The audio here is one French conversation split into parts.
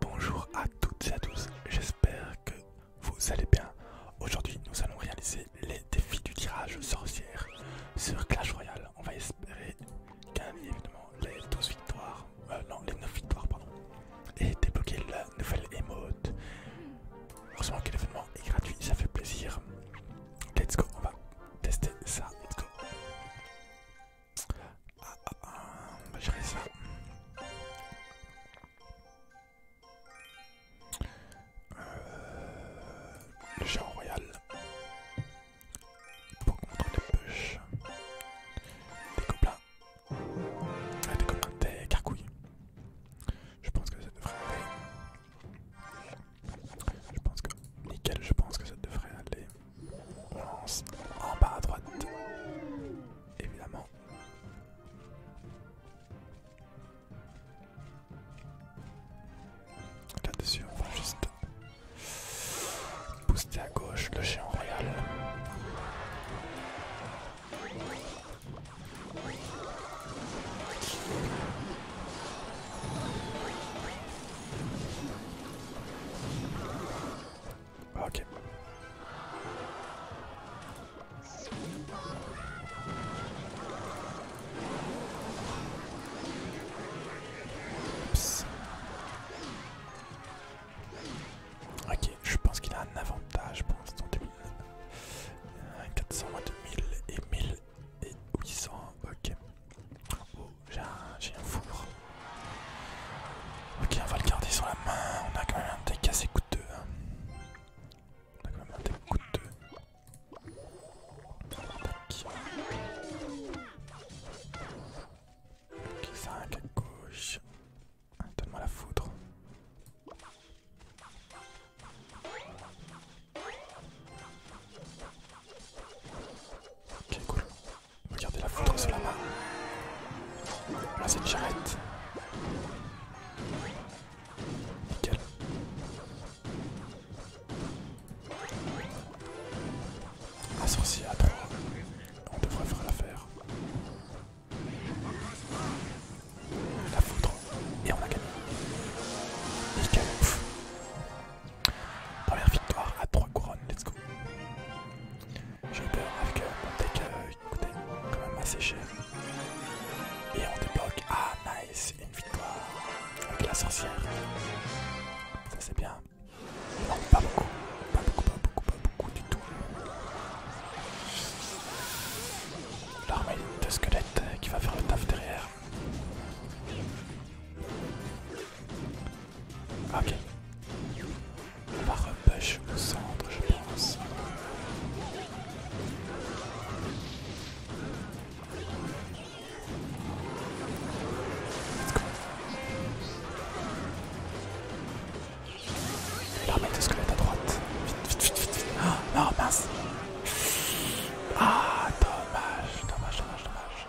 Bonjour à toutes et à tous, j'espère que vous allez bien. Aujourd'hui nous allons réaliser les défis du tirage sorcière sur Clash Royale. On va espérer qu'un événement les 12 victoires, euh, non les 9 victoires pardon, et débloquer la nouvelle émote. Heureusement que l'événement est gratuit, ça fait plaisir. Let's go, on va tester ça, let's go. Ah, ah, ah, on va gérer ça. Euh, le géant royal pour contre les push, des copains. Ah, des gobelins, des carcouilles. Je pense que ça devrait aller. Je pense que nickel. Je pense que ça devrait aller. On lance en bas à droite. Évidemment. Là-dessus, on va juste booster à gauche le géant royal. Ah, ok. Oups. Ok, je pense qu'il a un avantage pour l'instant 400 2000 euh, et 1000 et 800, ok. Oh, j'ai un, un four. Ok, on va le garder sur la main. On a quand même un deck assez coûteux. Hein. On a quand même un deck coûteux. Ok, 5 à gauche. Donne-moi la foudre. Ok, cool. Regardez la foudre c'est la main. c'est cette charrette. Nickel. Un sorcier à 3. On devrait faire l'affaire. La foudre. Et on a gagné. Nickel. Première victoire à 3 couronnes. Let's go. Je peux peur avec mon deck euh, écoutez, quand même assez cher. Et on débloque. Ah nice, une victoire avec la sorcière. Ça c'est bien. pas beaucoup. Pas beaucoup, pas beaucoup, pas beaucoup du tout. L'armée de squelette qui va faire le taf derrière. Ok. On va repêcher au centre, je pense. L'armée de squelette à droite. Vite, vite, vite, vite, vite. Ah, non, mince. Ah, dommage, dommage, dommage, dommage.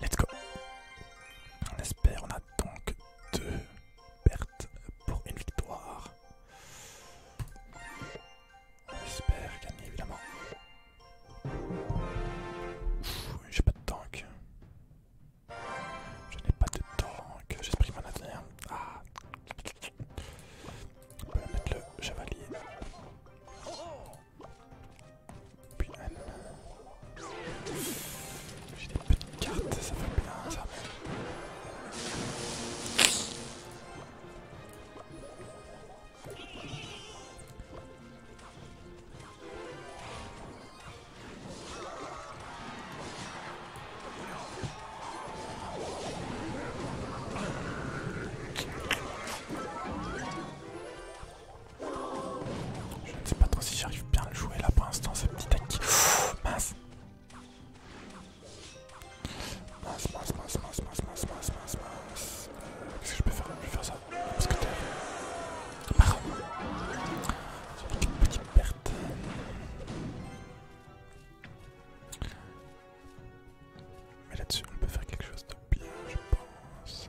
Let's go. On espère, on a donc deux pertes pour une victoire. On espère gagner évidemment. J'ai pas de tank. Je n'ai pas de tank. J'esprit mon avenir. Ah. On peut mettre le chevalier. Puis elle. J'ai des petites cartes, ça fait bien ça. Je ne sais pas trop si j'arrive bien à le jouer là pour l'instant, ce petit deck. Mince. Mince, mince, mince, mince, mince, mince, mince, mince, mince. Euh, qu'est-ce que je peux faire Je vais faire ça. Parce que t'es. Marron. une petite perte. Mais là-dessus, on peut faire quelque chose de bien, je pense.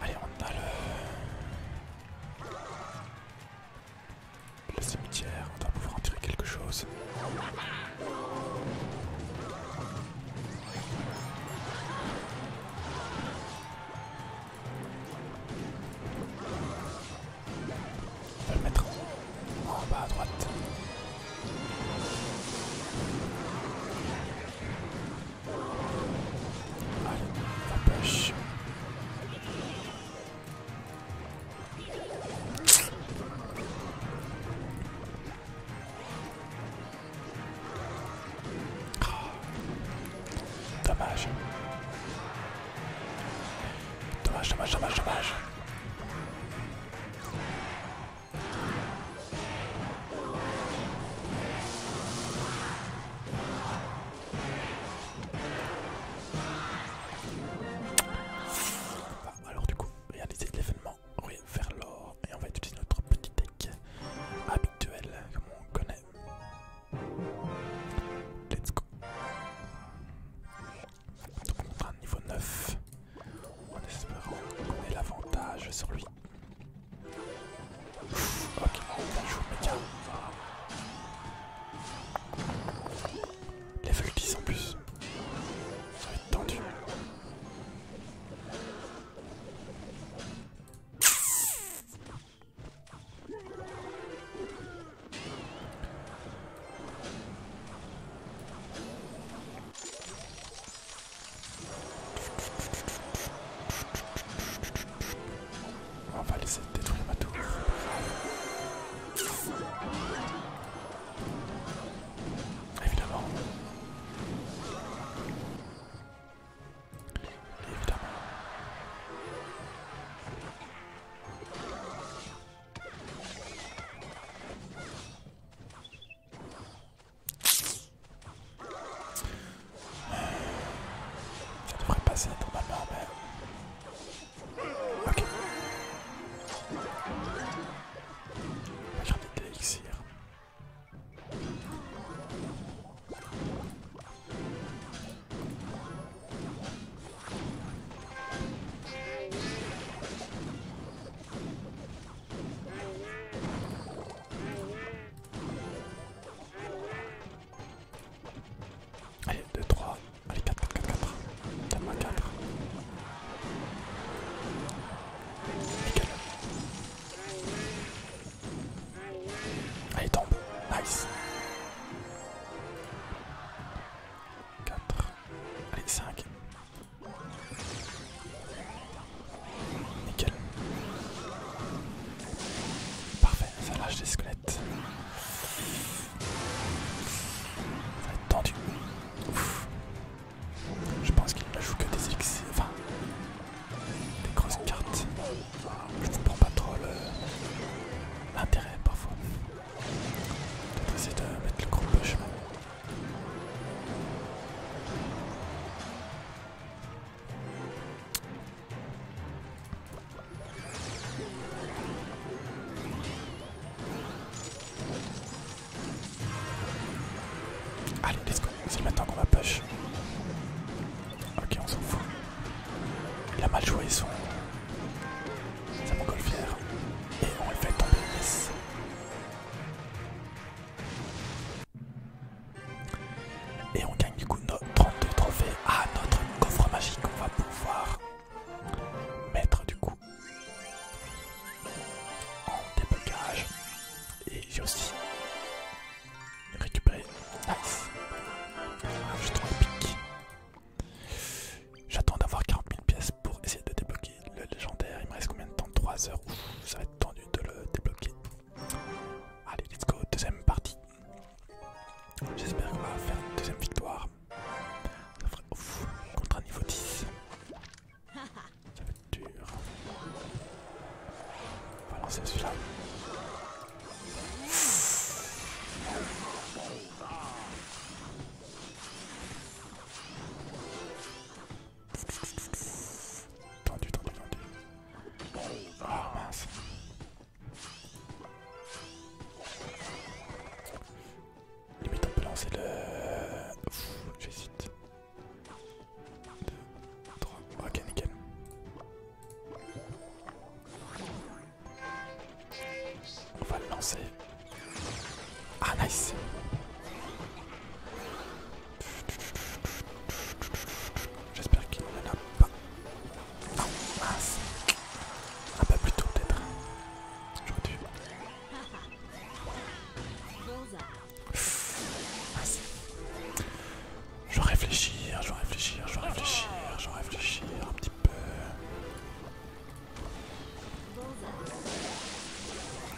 Allez, on a le... cimetière, on doit pouvoir en tirer quelque chose. Je vais le mettre en bas à droite. Allez, la pêche. Ah. Dommage. Dommage, dommage, dommage, dommage. Alors du coup, réaliser l'événement, oui, vers l'or et on va utiliser notre petit deck habituel comme on connaît. Let's go. Donc on montre un niveau 9 en espérant qu'on ait l'avantage sur lui. Ok, ok, bien joué méga. Level 10 en plus. Ça va être tendu. On va laisser détruire ma tour. Évidemment. Évidemment. Je devrait passer normalement, mais... Ok. Allez, 2, 3, allez, 4, 4, 4, 4, Allez, tombe, nice. 4, allez, 5, Nickel. Parfait, ça lâche des squelettes. Ça va être tendu. Je pense qu'il ne joue que des X. enfin des grosses cartes. Je ne comprends pas trop l'intérêt parfois essayer de mettre le gros push maintenant Allez, let's go, c'est maintenant qu'on va push. Ok, on s'en fout. Il a mal joué son ça colle fière et on le fait tomber. Et on gagne du coup 32 trophées à notre coffre magique. On va pouvoir mettre du coup en déblocage. Et j'ai aussi récupéré. Nice. Juste le piques. J'attends d'avoir 40 000 pièces pour essayer de débloquer le légendaire. Il me reste combien de temps 3 heures. Ouf, ça va être tendu de le débloquer. Allez, let's go, deuxième partie. J'espère qu'on va faire une deuxième victoire. Ça ferait ouf, contre un niveau 10. Ça va être dur. On va lancer celui-là. Tendu, tendu, tendu. Oh mince. Limite on peut lancer le... J'hésite. 2, 3, ok nickel. On va le lancer. Ah nice J'espère qu'il ne l'a pas. Non, ah, bah Un peut-être. J'aurais dû. Je vais réfléchir, je vais réfléchir, je vais réfléchir, je vais réfléchir un petit peu.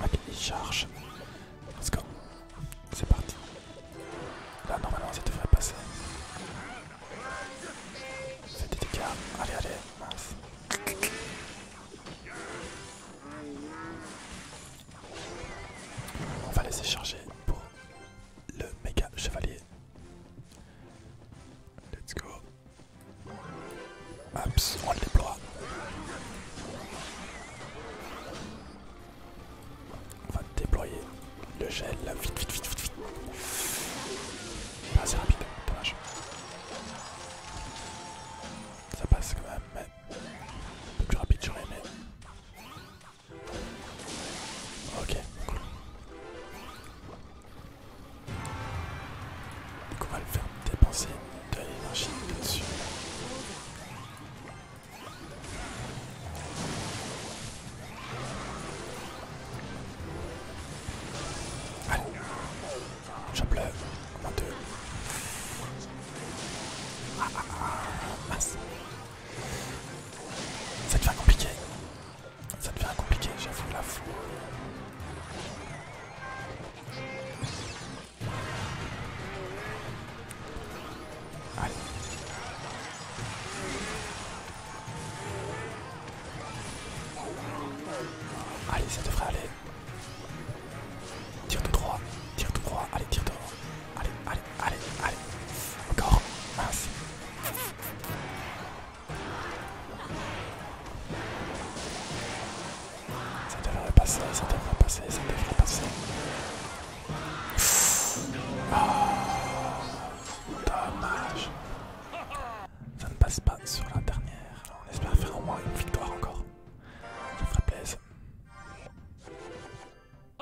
Ok, ah, il charge. Let's go. C'est parti. Là, normalement, ça devrait passer. C'est des Allez, allez, On va laisser charger pour le méga chevalier. Let's go on le déploie. On va déployer le gel là, vite, vite, vite, vite, vite. Pas assez rapide, dommage. Ça passe quand même, un peu plus rapide j'aurais aimé. Ok, cool. Donc on va le faire dépenser de l'énergie dessus Allez, j'en le moins deux. Ah ah ah, mince. Ça devient compliqué. Ça devient compliqué, j'avoue, la foule. Allez. Allez, ça devrait aller. Tire tout droit, tire tout droit, allez, tire tout droit. Allez, allez, allez, allez. Encore, mince. Ça devrait passer, ça devrait passer, ça devrait passer. Oh, dommage. Ça ne passe pas sur la dernière. on espère faire au moins une victoire encore. Ça ferait plaisir.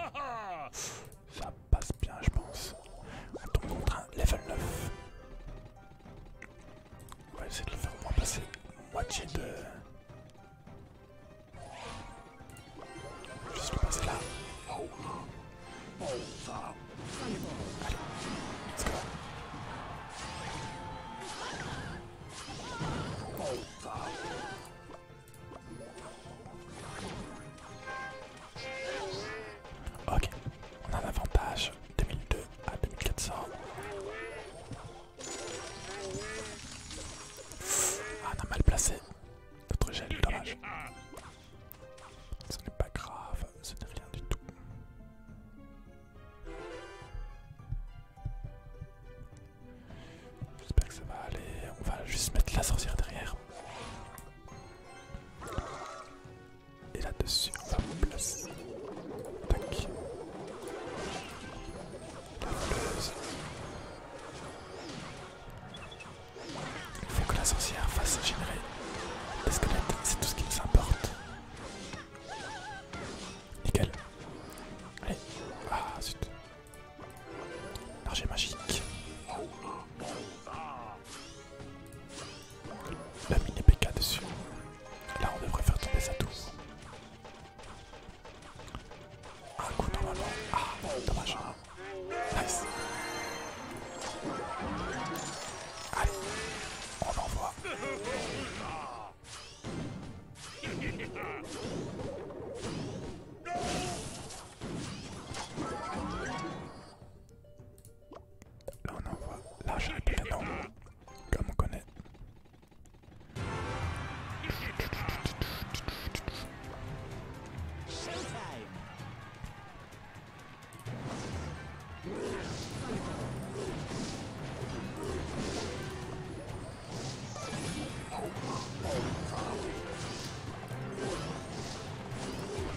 Ça passe bien, je pense. On tombe contre un level 9. On va essayer de le faire au moins passer moitié de. Juste le passer là. Oh. let's go. Ok, on a un avantage. 2002 à 2400. Ah, on a mal placé. Notre gel, dommage. Ce n'est pas grave, ce n'est rien du tout. J'espère que ça va aller. On va juste mettre la sorcière derrière. Et là-dessus, on va placer. Tac. La Il faut que la sorcière fasse générer des squelettes, c'est tout ce qui nous importe. Nickel. Allez. Ah zut. L'archer magique. Même une épée PK dessus. Là on devrait faire tomber ça tout Un coup normalement. Ah dommage. Hein. Nice. Allez, on l'envoie. Là on envoie l'argent comme on connaît.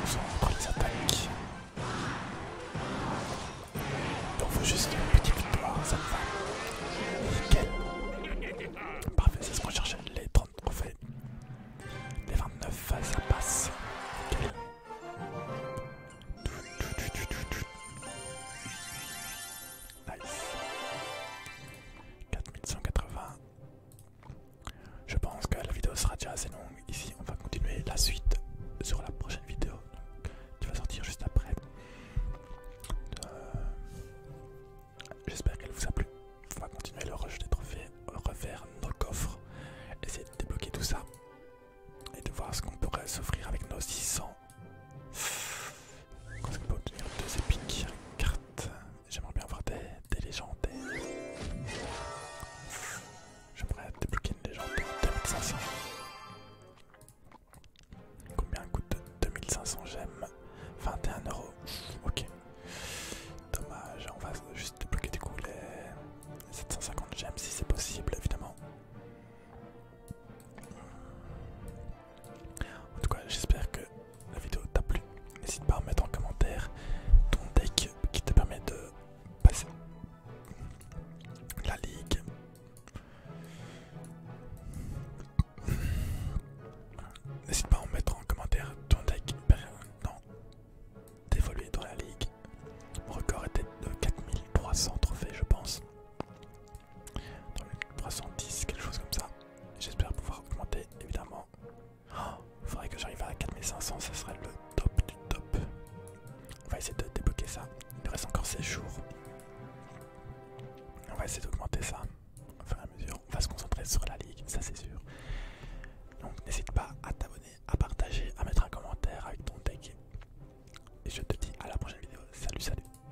Ils ont repris les attaques. Donc faut juste une petite victoire, ça me va. Nickel. Parfait, c'est ce qu'on cherchait, les 30 trophées. Les 29, ça passe. Nice. 4180. Je pense que la vidéo sera déjà assez longue. Ici, on va continuer la suite sur la prochaine vidéo qui va sortir juste après. Euh, j'espère qu'elle vous a plu. On va continuer le rush des trophées, refaire nos coffres, essayer de débloquer tout ça et de voir ce qu'on pourrait s'offrir avec nos 600 obtenir deux épiques cartes. J'aimerais bien avoir des, légendes J'aimerais débloquer une de 2500. Combien coûte 2500 gemmes 21€, Ok. Dommage, on va juste débloquer du coup les 750 gemmes si c'est possible évidemment. En tout cas, j'espère que la vidéo t'a plu. N'hésite pas à mettre en commentaire ton deck qui te permet de passer la ligue. N'hésite pas à en mettre en commentaire ton deck permettant d'évoluer dans la ligue. Mon record était de 4300 trophées, je pense dans les 310, quelque chose comme ça. J'espère pouvoir augmenter évidemment. Oh, il faudrait que j'arrive à 4500, ça serait le top du top. On va essayer de débloquer ça. Il reste encore 16 jours. On va essayer d'augmenter ça au à mesure. On va se concentrer sur la ligue, ça c'est sûr. Donc n'hésite pas à t'abonner, à partager, à mettre un commentaire avec ton deck. Et je te dis à la prochaine vidéo. Salut, salut.